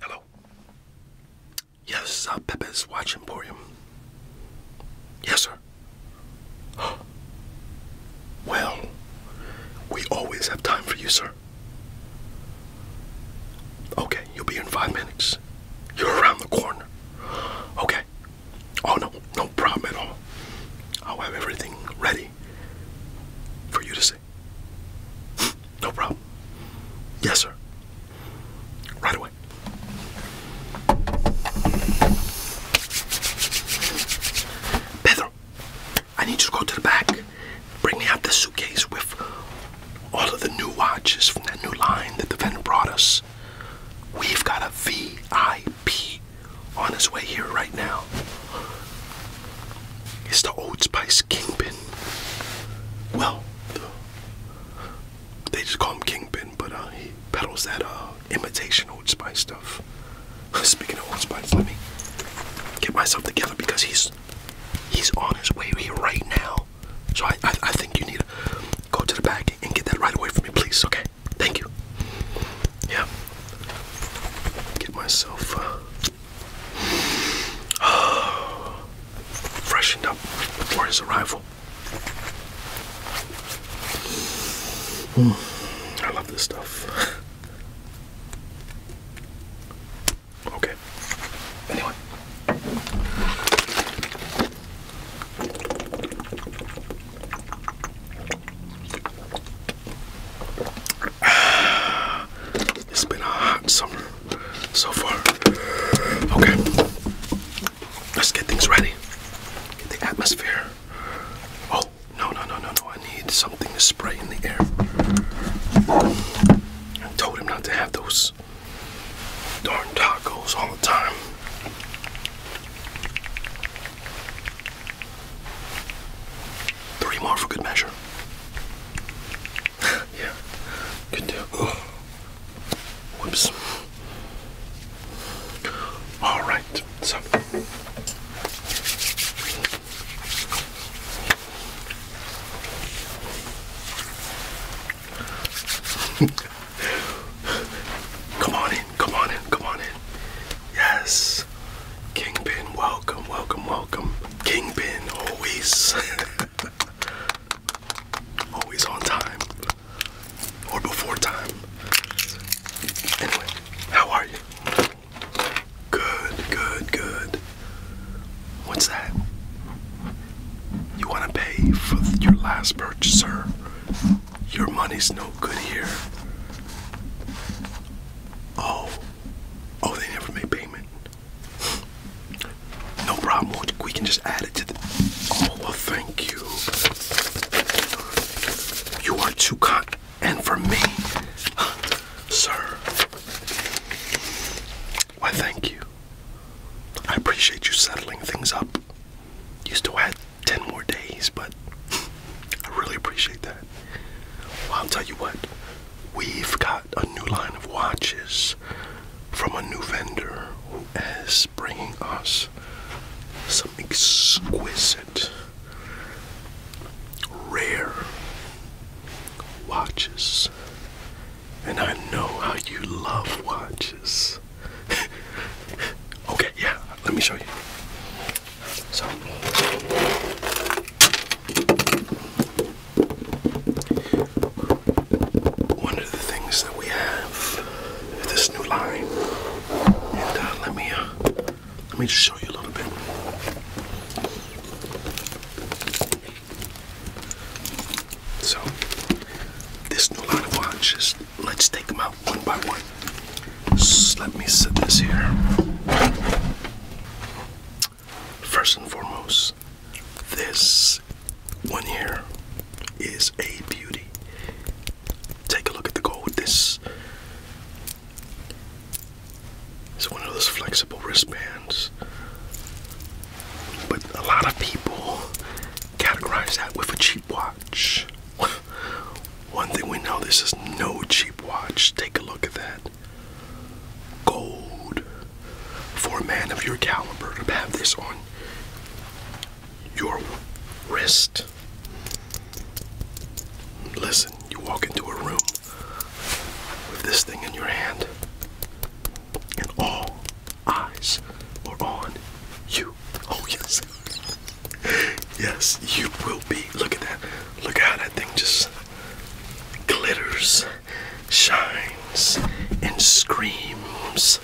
Hello. Yes, uh, watching for you. Yes, sir. Well, we always have time for you, sir. Okay, you'll be in five minutes. You're around the corner. Okay. Oh, no, no problem at all. I'll have everything ready for you to see. No problem. Yes, sir. Right away. Pedro, I need you to go to the back. Bring me out the suitcase with all of the new watches from that new line that the vendor brought us. We've got a VIP on his way here right now. It's the Old Spice Kingpin. Well, they just call him Kingpin, but uh, he peddles that uh, imitation Old Spice stuff. Speaking of Old Spice, let me get myself together because he's he's on his way here right now. So I, I, I think you need to go to the back and get that right away from me, please. Okay, thank you. Yeah, get myself. Uh, freshened up for his arrival. I love this stuff. okay. Anyway. It's been a hot summer so far. Okay, let's get things ready. Get the atmosphere. Oh, no, no, no, no, no. I need something to spray in the air. I told him not to have those darn tacos all the time. Three more for good measure yeah, good deal. Whoops. All right, so. come on in, come on in, come on in. Yes. Kingpin, welcome, welcome, welcome. Kingpin, always. always on time. Or before time. Anyway, how are you? Good, good, good. What's that? You want to pay for your last purchase, sir? Your money's no good here. Oh, oh, they never made payment. No problem. We can just add it to the. Oh well, thank you. You are too kind, and for me, sir. Why, thank you. I appreciate you settling things up. You still had ten more days, but I really appreciate that. Well, I'll tell you what. We've got a new line of watches from a new vendor who is bringing us some exquisite, rare watches. And I know how you love watches. okay, yeah, let me show you. So, one of the things that we have this new line, and uh, let me uh, let me just show you a little bit. So, this new line of watches. Let's take them out one by one. let me set this here. First and foremost, this one here is a beauty. Take a look at the gold. This is one of those flexible wristbands. But a lot of people categorize that with a cheap watch. One thing we know this is no cheap watch. Take a look at that gold for a man of your caliber to have this on your wrist. Listen, you walk into a room with this thing in your hand, and all eyes are on you. Oh, yes. Yes, you will be. Look at that. Look at how that thing just glitters, shines, and screams.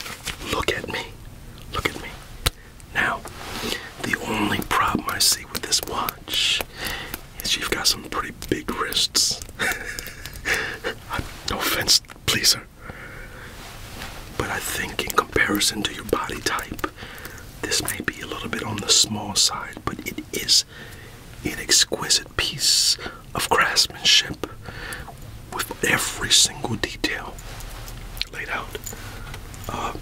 Look at me. Look at me. Now, the only problem I see with this watch is you've got some pretty big wrists. Uh, no offense, please, sir. But I think, in comparison to your body type, this may be a little bit on the small side, but it is an exquisite piece of craftsmanship with every single detail laid out. Uh,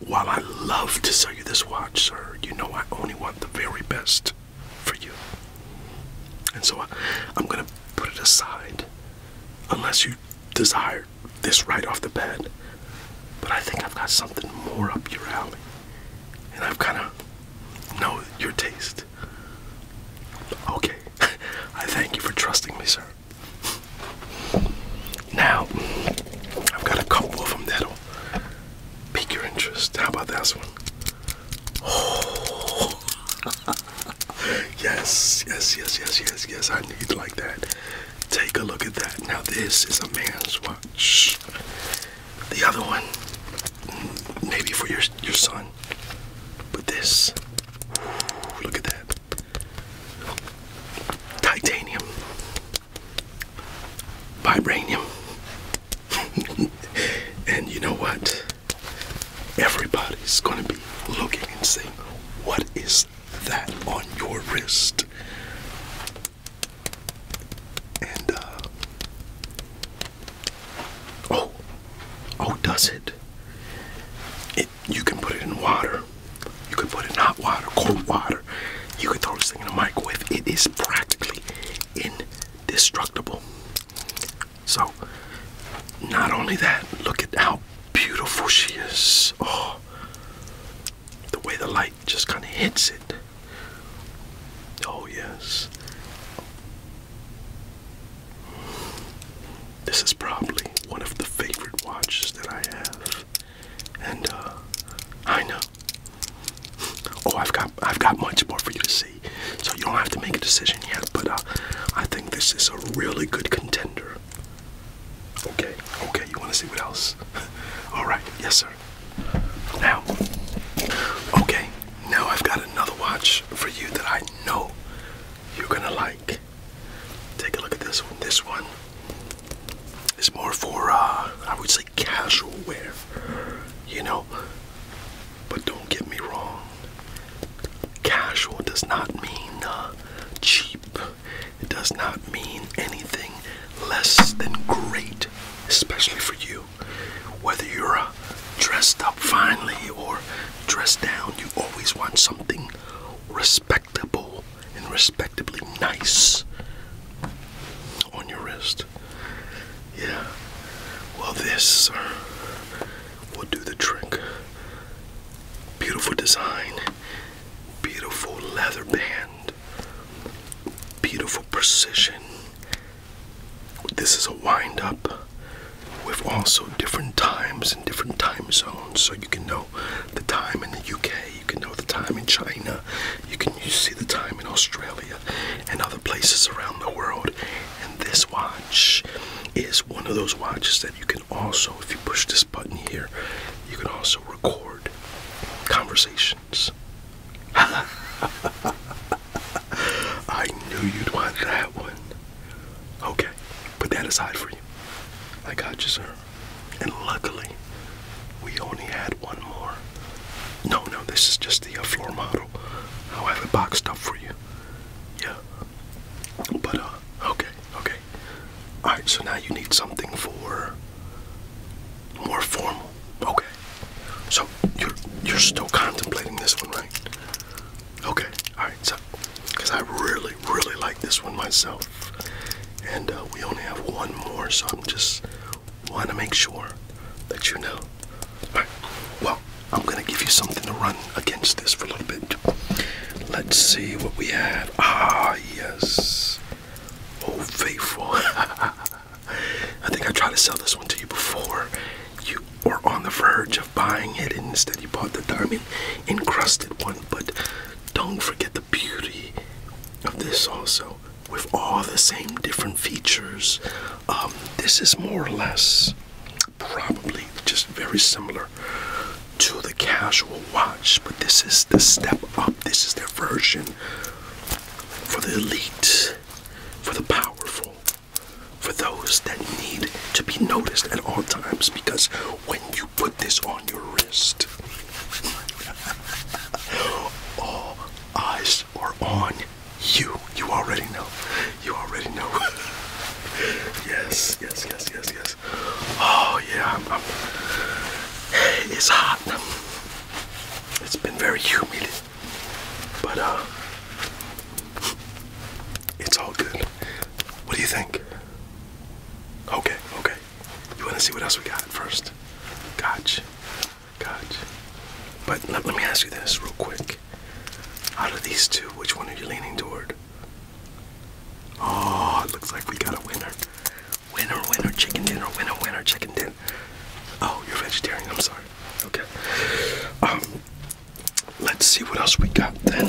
while I love to sell you this watch, sir, you know I only want the very best for you. And so I'm going to put it aside unless you desire this right off the bat. But I think I've got something more up your alley and I've kind of know your taste. Okay, I thank you for trusting me, sir. Now, I've got a couple of them that'll pique your interest. How about this one? Oh, yes, yes, yes, yes, yes, yes. I need like that. Take a look at that. Now, this is a man's watch. The other one, maybe for your your son. But this, look at that. Titanium. Vibranium. and you know what? Everybody's gonna be looking and saying, What is that on your wrist? And, uh, Oh! Oh, does it? It. You can put it in water. You can put it in hot water, cold water. You can throw this thing in the microwave. It is practically indestructible. So, not only that, look at how beautiful she is. Oh, the way the light just kind of hits it. Oh, yes. This is probably one of the favorite watches that I have. And uh, I know. Oh, I've got I've got much more for you to see. So you don't have to make a decision yet, but uh, I think this is a really good contender. Okay. Okay, you want to see what else? All right. Yes, sir. Now, okay, now I've got another watch for you that I know you're gonna like. Take a look at this one. This one is more for, uh, I would say, casual wear, you know. But don't get me wrong, casual does not mean uh, cheap, it does not mean anything less than great, especially for you. Whether you're uh, dressed up finely or dressed down, you always want something respectable and respectably nice on your wrist. Yeah. Well, this uh, will do the trick. Beautiful design, beautiful leather band beautiful precision. This is a wind up with also different times and different time zones, so you can know the time in the UK, you can know the time in China, you can you see the time in Australia and other places around the world. And this watch is one of those watches that you can also, if you push this button here, you can also record conversation. I knew you'd want that one. Okay, put that aside for you. I got you, sir. And luckily, we only had one more. No, no, this is just the uh, floor model. I'll have it boxed up for you. Yeah. But, uh, okay, okay. Alright, so now you need something for more formal. Okay. So you're you're still contemplating this one, right? Okay. All right. So, because I really really like this one myself, and uh, we only have one more, so I'm just want to make sure that you know. All right. Well, I'm gonna give you something to run against this for a little bit. Let's see what we have. Ah yes. Oh faithful. I think I tried to sell this one to you before. You were on the verge of buying it, and instead you bought the diamond encrusted one. But don't forget the beauty of this also, with all the same different features. Um, this is more or less probably just very similar to the casual watch, but this is the step up. This is the version for the elite, for the powerful, for those that need to be noticed at all times. Because when you put this on your wrist, all eyes are on you. You already know. You already know. yes, yes, yes, yes, yes. Oh, yeah. I'm, I'm, it's hot. It's been very humid, but uh, it's all good. What do you think? Okay, okay. You want to see what else we got first? Gotcha, gotcha. But let, let me ask you this real quick. Out of these two, which one are you leaning toward? Oh, it looks like we got a winner. Winner, winner, chicken dinner, winner, winner, chicken dinner. Oh, you're vegetarian, I'm sorry. Okay. Um, let's see what else we got then.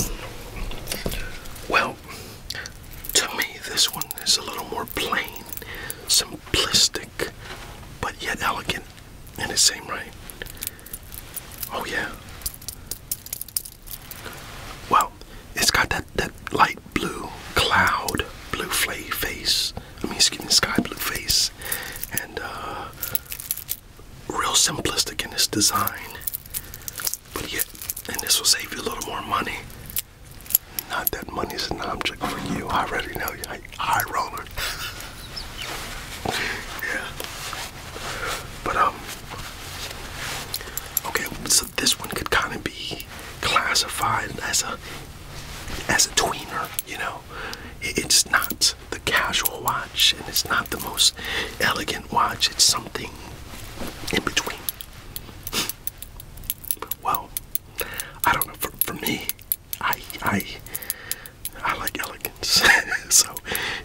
Well, to me, this one is a little more plain, simplistic, but yet elegant in the same right. Oh, yeah. Well, it's got that, that light blue cloud, blue flay face. I mean, excuse me, sky blue face, and uh, real simplistic in its design. But yet, and this will save you a little more money. Not that money's an object for you. I already know you. High roller. yeah. But um. Okay, so this one could kind of be classified as a as a tweener, you know. It's not the casual watch and it's not the most elegant watch, it's something in between. well, I don't know. For, me, I, I, I like elegance. so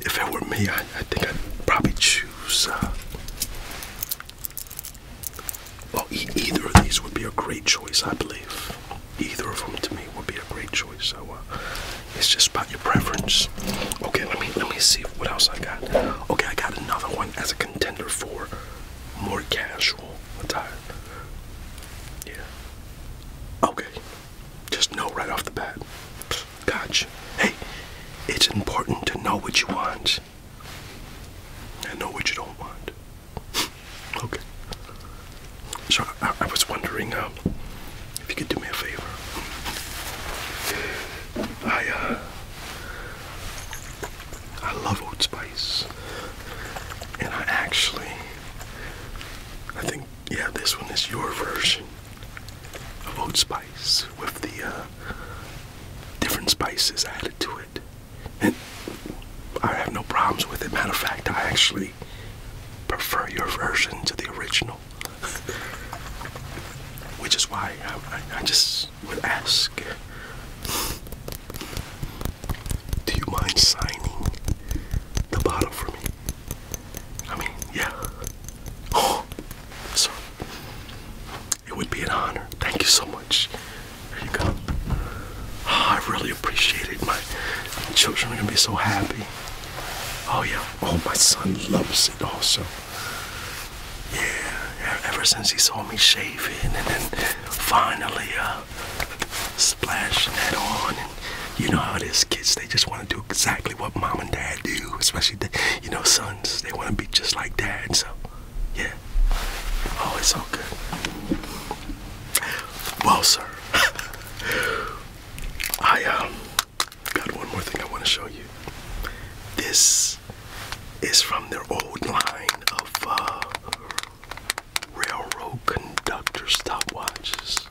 if it were me, I, think I'd probably choose uh, well, either of these would be a great choice, I believe. Either of them to me would be a great choice. So uh, it's just about your preference. Okay, let me let me see what else I got. Okay, I got another one as a contender for more casual attire. Yeah. Okay. Just know right off the bat. Gotcha. Hey, it's important to know what you want and know what you don't want. Okay. So I, was wondering um, if you could do me a favor. I uh, I love Old Spice, and I actually I think yeah this one is your version of Old Spice with the uh, different spices added to it. And I have no problems with it. Matter of fact, I actually prefer your version to the original. Which is why I, just would ask Do you mind signing the bottle for me? I mean, yeah. Oh, so it would be an honor. Thank you so much. There you go. Ah, I really appreciate it. My children are gonna be so happy. Oh yeah. Oh, my son loves it also. Yeah. Ever since he saw me shaving, and then finally uh, splashing that on, and you know how it is, kids. They just want to do exactly what mom and dad do, especially the, you know sons. They want to be just like dad. So yeah. Oh, it's all good. Well, sir, I um got one more thing I want to show you. This is from their old line of uh, railroad conductor stopwatches.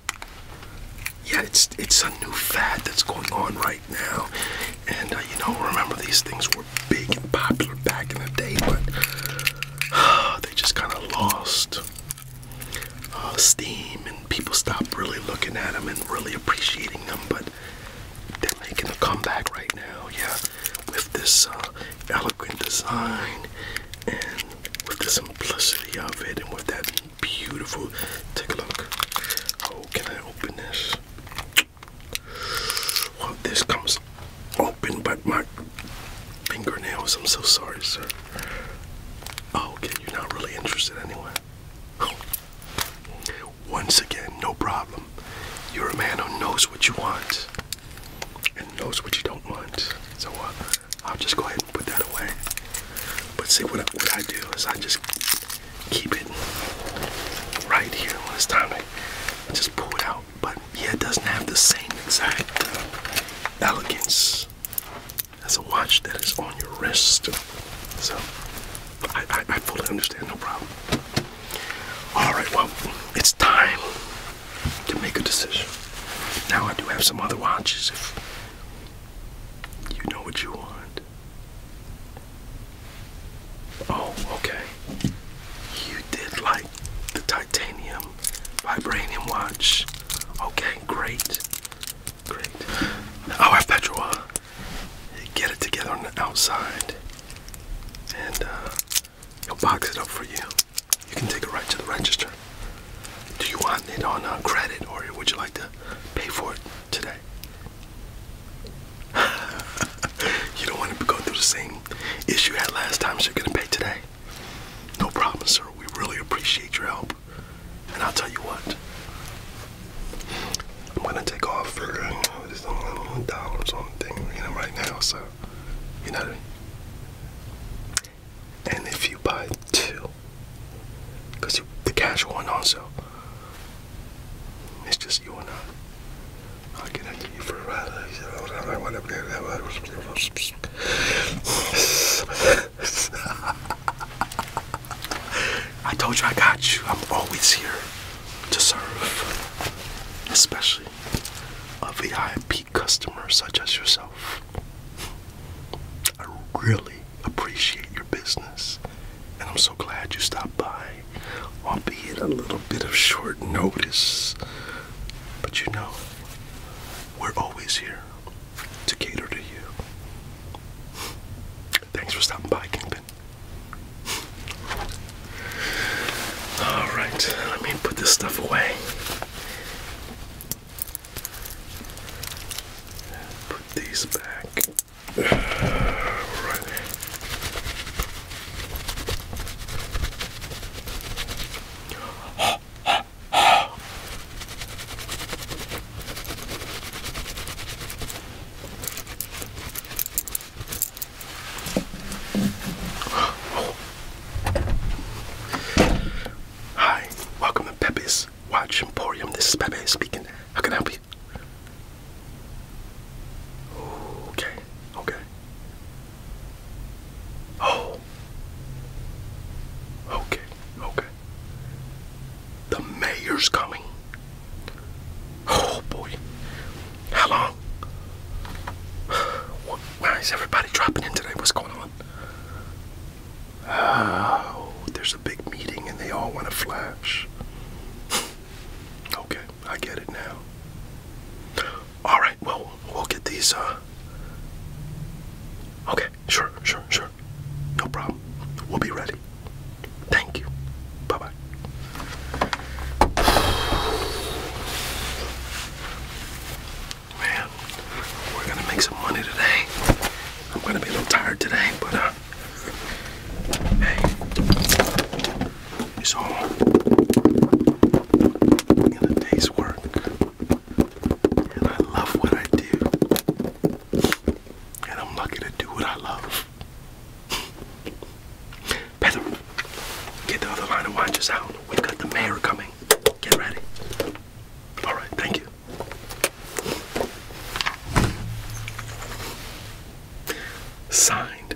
Yeah, it's it's a new fad that's going on right now, and uh, you know, remember these things were big and popular back in the day, but they just kind of lost uh, steam, and people stopped really looking at them and really appreciating them. But they're making a comeback right now, yeah, with this uh, eloquent design and with the simplicity of it, and with that beautiful. Take a look. Oh, can I open this? Well, this comes open, but my fingernails. I'm so sorry, sir. Oh, okay, you're not really interested anyway. Once again, no problem. You're a man who knows what you want and knows what you don't want. So uh, I'll just go ahead and put that away. But see, what I, what I do is I just keep it right here when it's time to just pull it out but yeah, it doesn't have the same exact uh, elegance as a watch that is on your wrist. So I fully understand, no problem. All right, well, it's time to make a decision. Now I do have some other watches if you know what you want. Oh, okay you did like the titanium vibranium watch. Okay, great. Great. i Now our Petroa get it together on the outside and uh, he'll box it up for you. You can take it right to the register. Do you want it on uh, credit or would you like to pay for it today? you don't want to go through the same if you had last time, so you're gonna pay today. No problem, sir. We really appreciate your help. And I'll tell you what. I'm gonna take off for uh, just a little dollars on the thing, right now, so you know. And if you buy two, because the cash went on sale, it's just you and I. I told you I got you. I'm always here to serve, especially a VIP customer such as yourself. I really appreciate your business, and I'm so glad you stopped by, albeit a little bit of short notice. But you know, we're always here to cater to you. Thanks for stopping by, Kingpin. Alright, let me put this stuff away. Put these back. Alright. Hi, welcome to Pepe's Watch Emporium. This is Pepe speaking. How can I help you? Okay, okay. Oh. Okay, okay. The mayor's coming. Oh boy. How long? Why is everybody dropping in today? What's going on? Oh, there's a big meeting and they all want a flash. okay, I get it now. All right well, we'll get these. Uh, okay, sure, sure, sure. No problem. We'll be ready. Thank you. Bye bye. Man, we're gonna make some money today. I'm gonna be a little tired today, but uh, hey, is all in a day's work. And I love what I do. And I'm lucky to do what I love. Pedro, get the other line of watches out. We've got the mayor coming. Get ready. All right, thank you. Signed,